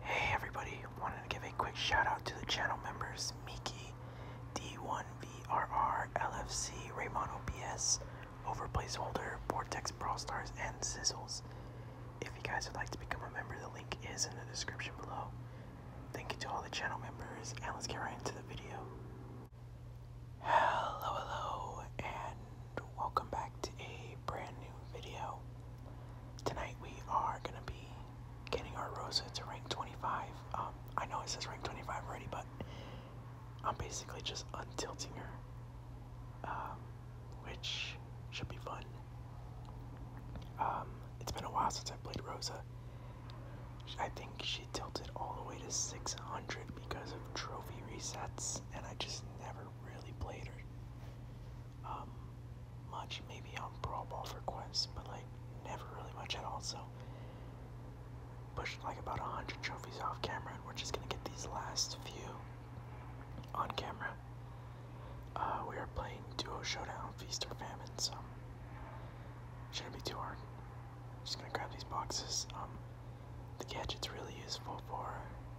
Hey everybody, wanted to give a quick shout out to the channel members Miki, D1VRR, LFC, Raymond OBS, Overplace Holder, Vortex Brawl Stars, and Sizzles. If you guys would like to become a member, the link is in the description below. Thank you to all the channel members, and let's get right into the video. Hello, hello, and welcome back to a brand new video. Tonight we are going to be getting our Rosa to rank 25. Um, I know it says rank 25 already, but I'm basically just untilting her, um, which should be fun. Um, it's been a while since I played Rosa. I think she tilted all the way to 600 because of trophy resets, and I just never never really played um, much, maybe on Brawl Ball for but like never really much at all. So pushed like about 100 trophies off camera, and we're just gonna get these last few on camera. Uh, we are playing Duo Showdown, Feast or Famine, so shouldn't be too hard. Just gonna grab these boxes. Um, the gadget's really useful for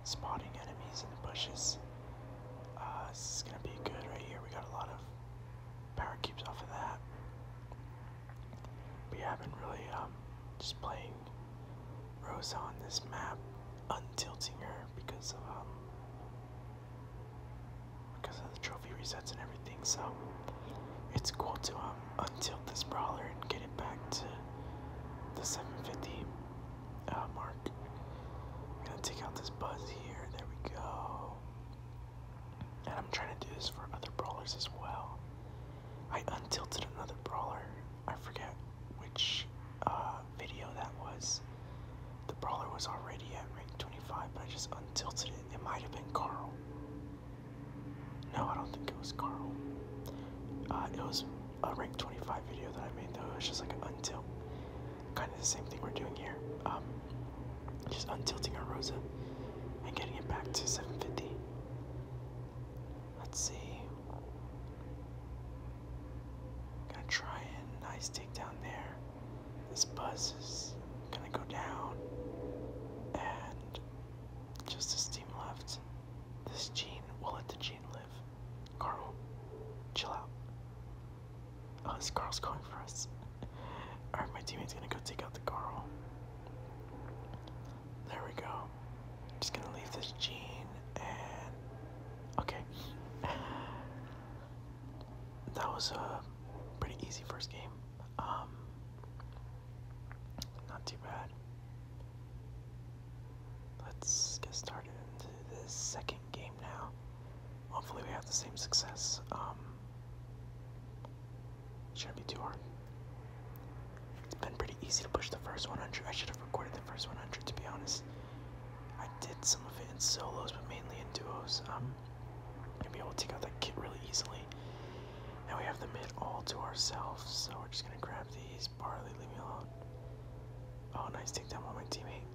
spotting enemies in the bushes. Uh, this is gonna be good right here. We got a lot of power cubes off of that. We haven't really um, just playing Rosa on this map, untilting her because of um, because of the trophy resets and everything. So it's cool to um untilt this brawler and get it back to the 750 uh, mark. I'm gonna take out this buzz here. There we go. And I'm trying to do this for other brawlers as well. I untilted another brawler. I forget which uh, video that was. The brawler was already at rank 25, but I just untilted it. It might have been Carl. No, I don't think it was Carl. Uh, it was a rank 25 video that I made though. It's just like an untilt. Kind of the same thing we're doing here. Um, just untilting our Rosa and getting it back to 750. Let's see. Gonna try and nice takedown there. This buzz is gonna go down. And just this team left. This Gene, we'll let the Gene live. Carl, chill out. Oh, this Carl's going for us. Alright, my teammate's gonna go take out the Carl. There we go. Just gonna leave this Gene and. Okay. That was a pretty easy first game. Um, not too bad. Let's get started into this second game now. Hopefully, we have the same success. Um, shouldn't be too hard. It's been pretty easy to push the first 100. I should have recorded the first 100 to be honest. I did some of it in solos, but mainly in duos. Um, Gonna be able to take out that kit really easily. Now we have the mid all to ourselves, so we're just gonna grab these. Barley, leave me alone. Oh, nice takedown on my teammate.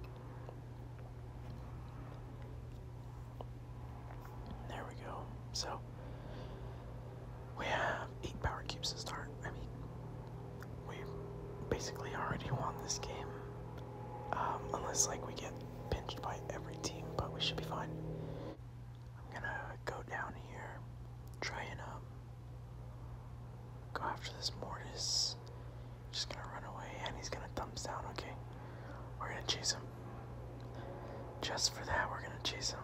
There we go. So we have eight power cubes to start. I mean, we basically already won this game, um, unless like we get pinched by every team, but we should be fine. I'm gonna go down here, try and um, go after this Mortis. Just gonna run away, and he's gonna thumbs down. Okay, we're gonna chase him. Just for that, we're gonna chase him.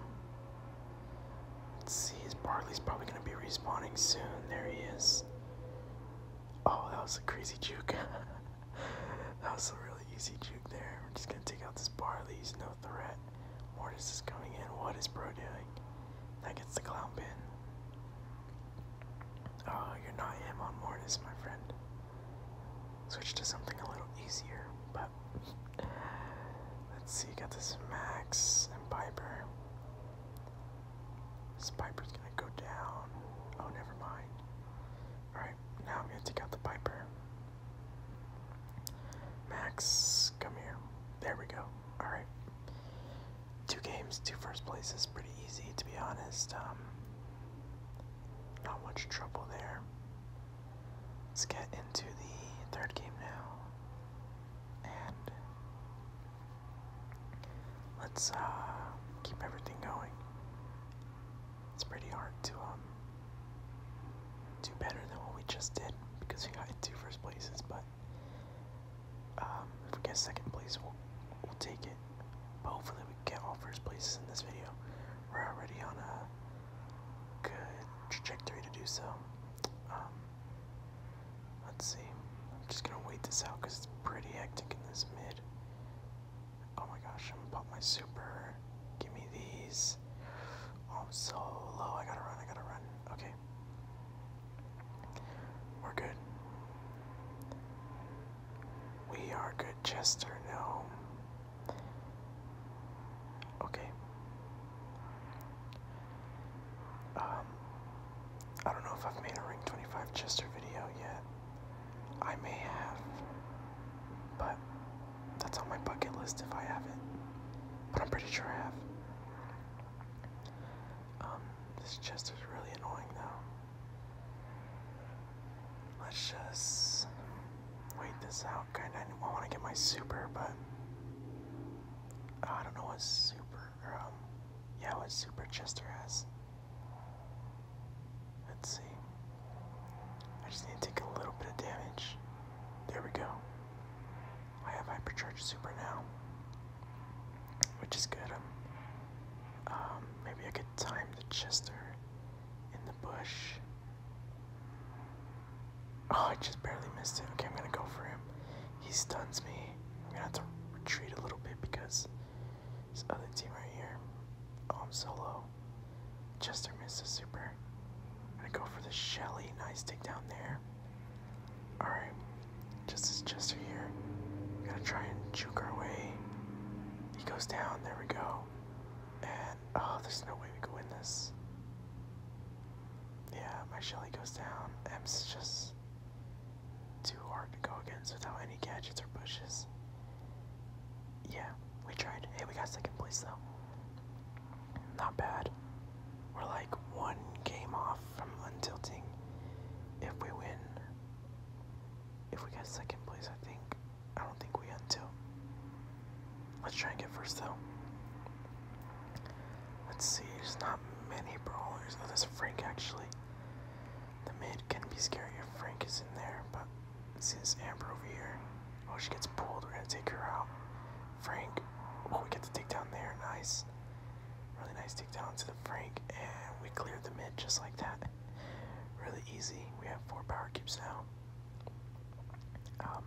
Let's see, his Barley's probably gonna be respawning soon. There he is. Oh, that was a crazy juke. that was a really easy juke there. We're just gonna take out this barley. He's no threat. Mortis is coming in. What is Bro doing? That gets the clown pin. Oh, you're not him on Mortis, my friend. Switch to something a little easier, but let's see. Got this Max and Piper. This Piper's gonna go down. Oh, never mind. Alright, now i take out the Piper. Max, come here. There we go. Alright. Two games, two first places, pretty easy to be honest. Um, not much trouble there. Let's get into the third game now. And Let's uh, keep everything going. It's pretty hard to um, do better than what we just did because we got two first places, but um, if we get second place, we'll, take it. But hopefully, we get all first places in this video. We're already on a good trajectory to do so. Um, let's see. I'm just gonna wait this out because it's pretty hectic in this mid. Oh my gosh, I'm gonna pop my super. Give me these. Oh, I'm so low. I gotta run, I gotta run. Okay. We're good. We are good, Chester. No. Okay. Um, I don't know if I've made a Ring 25 Chester video yet. I may have, but that's on my bucket list if I haven't. But I'm pretty sure I have. Um, this Chester's really annoying though. Let's just wait this out. Kinda, I want to get my super, but I don't know what super um, yeah, what Super Chester has. Let's see. I just need to take a little bit of damage. There we go. I have Hypercharge Super now, which is good. Um, um, maybe I could time the Chester in the bush. Oh, I just barely missed it. Okay, I'm gonna go for him. He stuns me. I'm gonna have to retreat a little bit because this other team right here. Oh, I'm so low. Chester missed a super. I'm gonna go for the Shelly. Nice take down there. Alright. Just as Chester here. We're gonna try and juke our way. He goes down. There we go. And, oh, there's no way we can win this. Yeah, my Shelly goes down. M's just too hard to go against without any gadgets or pushes. Yeah, we tried. Hey, we got second place though. Not bad. We're like one game off from untilting. If we win, if we get second place, I think I don't think we untilt. Let's try and get first though. Let's see, there's not many brawlers. Oh, there's Frank actually. The mid can be scary if Frank is in there, but see this Amber over here. Oh, she gets pulled. We're gonna take her out. Frank. Oh, we get the takedown there. Nice. Really nice takedown to the Frank, and we clear the mid just like that. Really easy. We have four power keeps now. Um,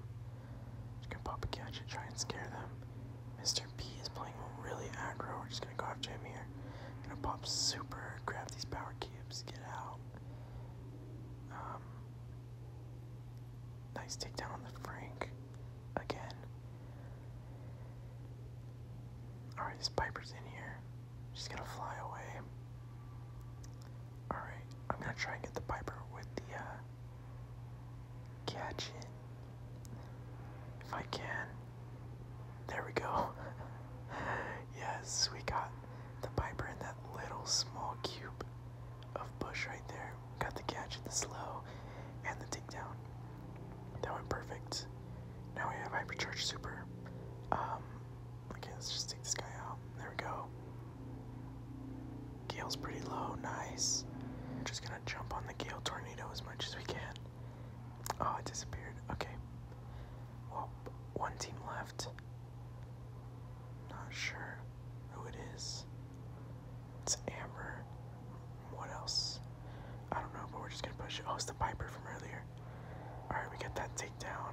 you can pop a gadget, try and scare them. Mr. P is playing really aggro. We're just gonna go after him here. Gonna pop super, grab these power cubes, get out. Um, nice takedown on the Frank again. Alright, this Piper's in here. Just gonna fly away. Alright, I'm gonna try and get the Piper with the uh, catch it if I can. There we go. yes, we got the Piper in that little small cube of bush right there. Got the catch in the slow and the takedown. That went perfect. Now we have Hypercharge Super. Um, Okay, let's just take this guy out. There we go. Gale's pretty low, nice. We're just gonna jump on the Gale tornado as much as we can. Oh, it disappeared. Okay. Well, one team left. Not sure who it is. It's Amber. What else? I don't know, but we're just gonna push it. Oh, it's the Piper from earlier. Alright, we get that takedown.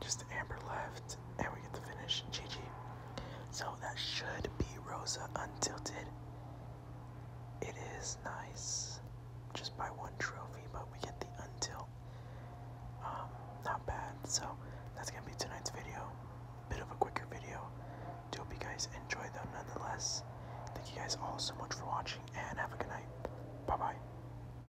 Just Amber left, and we get to finish Gigi. So that should be Rosa Untilted. It is nice, just by one trophy, but we get the untilt. Um, not bad. So that's gonna be tonight's video. Bit of a quicker video. hope you guys enjoy them nonetheless. Thank you guys all so much for watching, and have a good night. Bye bye.